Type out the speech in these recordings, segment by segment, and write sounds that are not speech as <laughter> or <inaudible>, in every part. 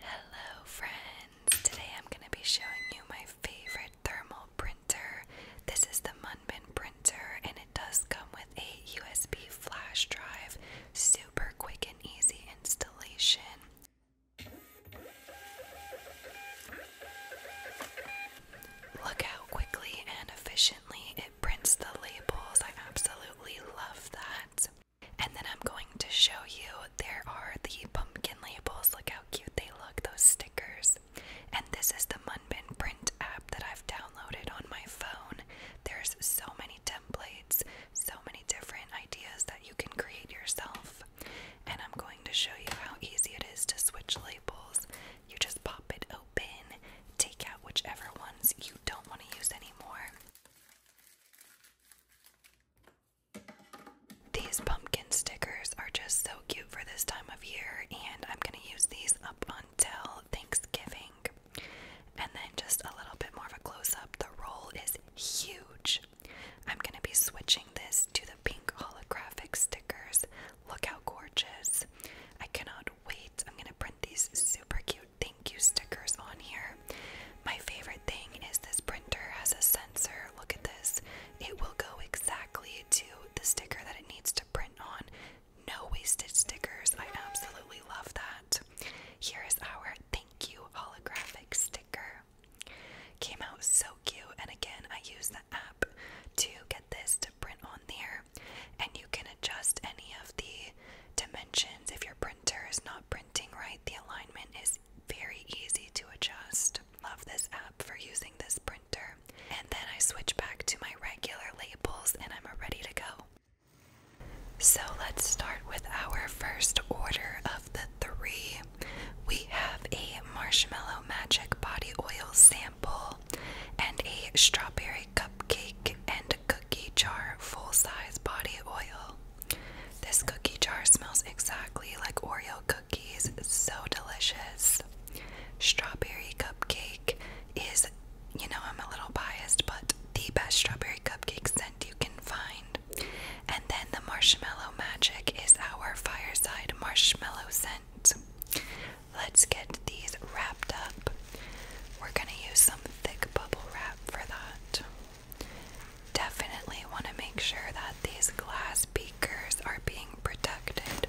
Hello, friends! Today I'm going to be showing you my favorite thermal printer. This is the Munmin printer, and it does come with a USB flash drive. Super quick and easy installation. Look how quickly and efficiently prints the labels. I absolutely love that. And then I'm going to show you there are the pumpkin labels. Look how cute they look, those stickers. And this is the Munbin print app that I've downloaded on my phone. There's so many templates, so many different ideas that you can create yourself. And I'm going to show you how easy it is to switch labels you just pop it open, take out whichever ones you don't want to use anymore. These pumpkin stickers are just so cute for this time of year, and I'm going to use these up until Thanksgiving. And then, just a little bit more of a close up, the roll is huge. I'm going to be switching this to the pink holographic stickers. Look how gorgeous! I cannot wait. I'm gonna print these super cute thank you stickers on here. My favorite thing is this printer has a sensor. Look at this. It will go exactly to the sticker that it needs to print on. No wasted stickers. I absolutely love that. Here is our thank you holographic sticker. Came out so cute, and again, I use app to get this to print on there, and you can adjust any of the dimensions if your printer is not printing right. The alignment is very easy to adjust. Love this app for using this printer. And then I switch back to my regular labels and I'm ready to go. So let's start with our first order of the three. We have a Marshmallow Magic Body Oil Sample and a strawberry cupcake and cookie jar full-size body oil. This cookie jar smells exactly like Oreo cookies, so delicious. Strawberry cupcake is, you know, I'm a little biased, but the best strawberry cupcake scent you can find. And then the marshmallow magic is our fireside marshmallow scent. Let's get these wrapped up. We're going to use some thick bubble wrap for that. Definitely want to make sure that these glass beakers are being protected.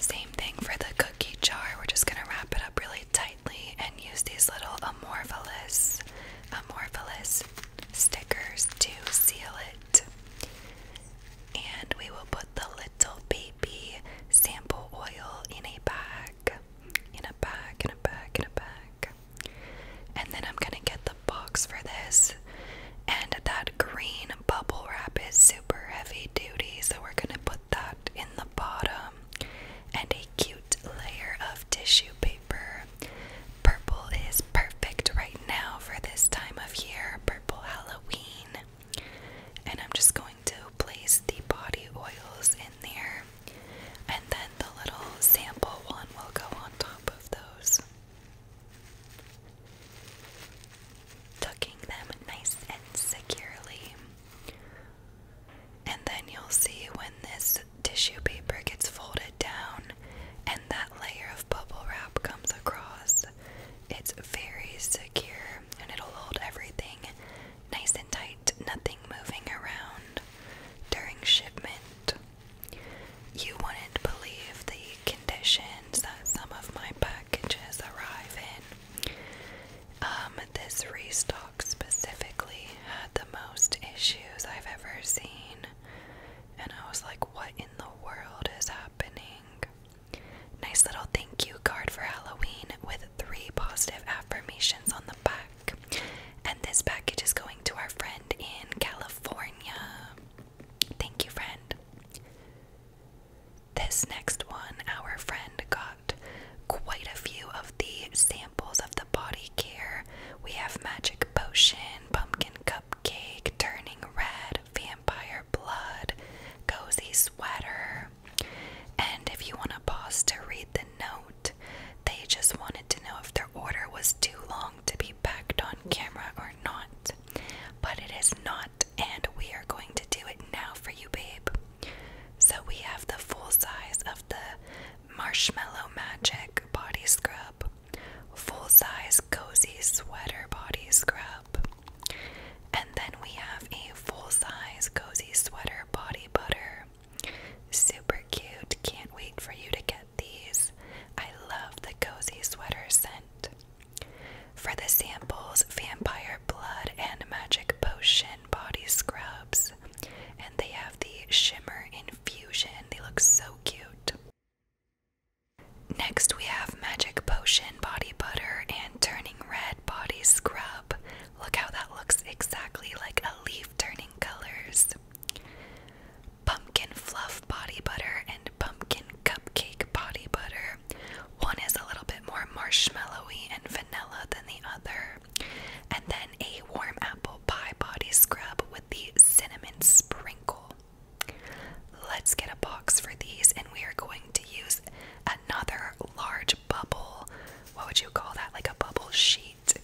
Same thing for the cookie jar. We're just going to wrap it up really tightly and use these little amorphous, amorphous stickers to seal it. And we will put the little baby sample oil in a bag. In a bag, in a bag, in a bag. And then I'm going to get the box for this. And that green bubble wrap is super heavy duty, so we're gonna put that in the bottom and a cute layer of tissue paper. Purple is perfect right now for this time of year, purple Halloween. And I'm just going to place the body oils in there, and then the little sample one will go on top of those tucking them nice and securely. And then you'll see when this tissue paper gets folded down and that layer of bubble wrap comes across, it's very secure and it'll hold everything nice and tight, nothing moving around during shipment. You wouldn't believe the conditions that some of my bags packages arrive in. Um, this restock specifically had the most issues I've ever seen, and I was like, what in the world is happening? Nice little thank you card for Halloween with three positive affirmations on the back. And this package is going to our friend in California. Thank you, friend. This next one, our friend got quite a few of the samples of the body care. We have magic potion, pumpkin cupcake, turning red, vampire blood, cozy sweater. And if you want to pause to read the note, they just wanted to know if their order was too long to be packed on camera or not. But it is not and we are going to do it now for you, babe. So we have the full size of the Marshmallow Magic body scrub, full size cozy sweater body scrub, and then we have a full size cozy sweater body butter. Super cute. Can't wait for you to get these. I love the cozy sweater scent. For the samples, vampire blood and magic potion body scrubs. And they have the shimmer infusion. They look so cute. Next, we have magic potion body butter and turning red body scrub. Look how that looks exactly like a leaf turning colors. Pumpkin fluff body butter and pumpkin cupcake body butter. One is a little bit more marshmallowy and vanilla than the other. And then a warm apple pie body scrub with the cinnamon sprinkle. Let's get a box for these, and we are going to use another large bubble. What would you call that? Like a bubble sheet.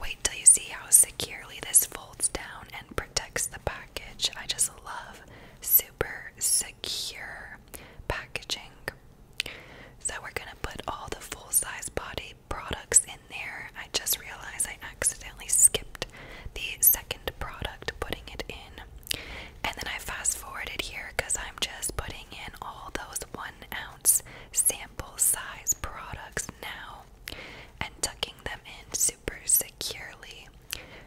Wait till you see how securely this folds down and protects the package. I just love super secure packaging. So we're going to put all the full-size body products in there. I just realized I accidentally skipped the second product, putting it in. And then I fast-forwarded here because I'm just putting in all those one-ounce sample size products now and tucking them in super securely,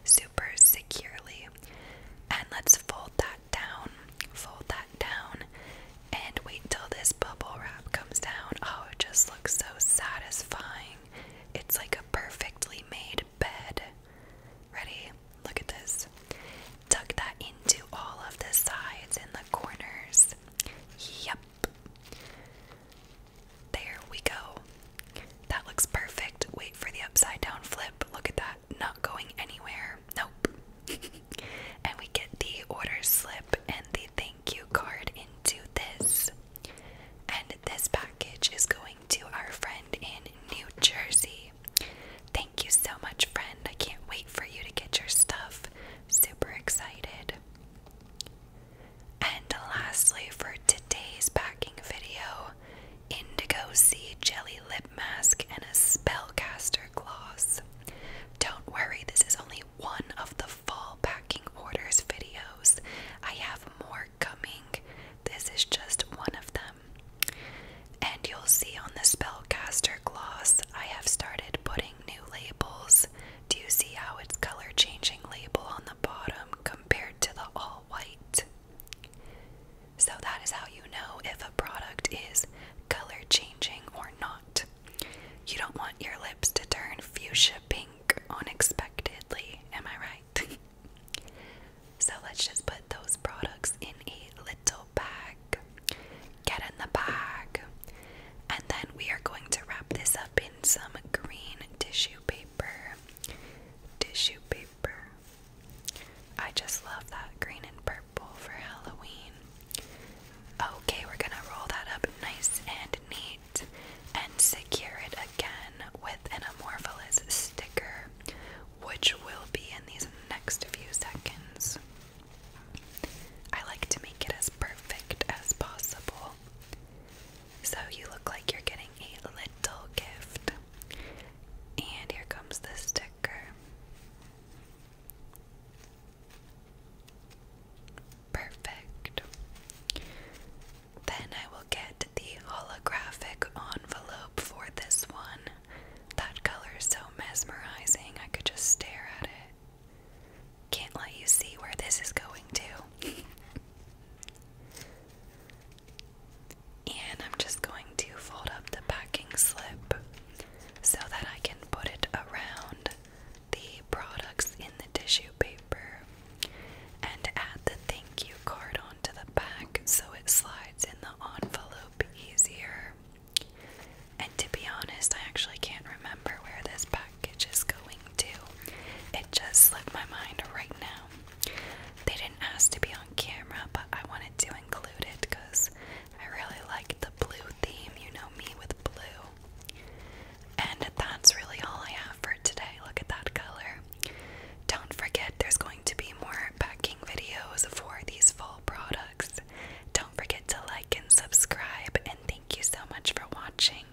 super securely. And let's fold that down, fold that down, and wait till this bubble wrap comes down. Oh, it just looks so satisfying. It's like a perfectly made bed. Ready? Look at this. Tuck that into all of the sides and the corners. Yep. There we go. That looks perfect. Wait for the upside down flip. Look at that. Not going anywhere. Nope. <laughs> and we get the order slip and the thank you card into this. And this package is going to our friend in New Jersey. Thank you so much, friend. I can't wait for you to get your stuff. Super excited. And lastly, for today's packing video, Indigo Sea Jelly Lip Mask and a Spellcaster Gloss. Don't worry, this is only one of the fall packing orders videos. I have more coming. This is just one of them. And you'll see on the Spellcaster Gloss, I have started putting new labels. Do you see how it's color changing label on the bottom? compared to the all white. So that is how you know if a product is color changing or not. You don't want your lips to turn fuchsia pink unexpectedly, am I right? <laughs> so let's just put those products in a little bag. Get in the bag. And then we are going to wrap this up in some green tissue paper. Tissue paper. I just love that green and purple for Halloween. Okay, we're gonna roll that up nice and neat and secure it again with an amorphous sticker, which will be in these next few seconds. I like to make it as perfect as possible. So you look like you're getting a little gift. And here comes the sticker. Perfect. Then I will get the holographic envelope for this one. That color is so mesmerizing, I could just stare at it. Can't let you see where this is going to. <laughs> And I'm just going to fold up the packing slip so that I can put it around the products in the tissue paper and add the thank you card onto the back so it slides in the envelope easier. And to be honest, I actually can't remember where this pack package is going to. It just slipped my mind right now. They didn't ask to be on camera, but I wanted to include it because I really like the blue theme. You know me with blue. And that's really all I have for today. Look at that color. Don't forget, there's going to be more packing videos for these fall products. Don't forget to like and subscribe, and thank you so much for watching.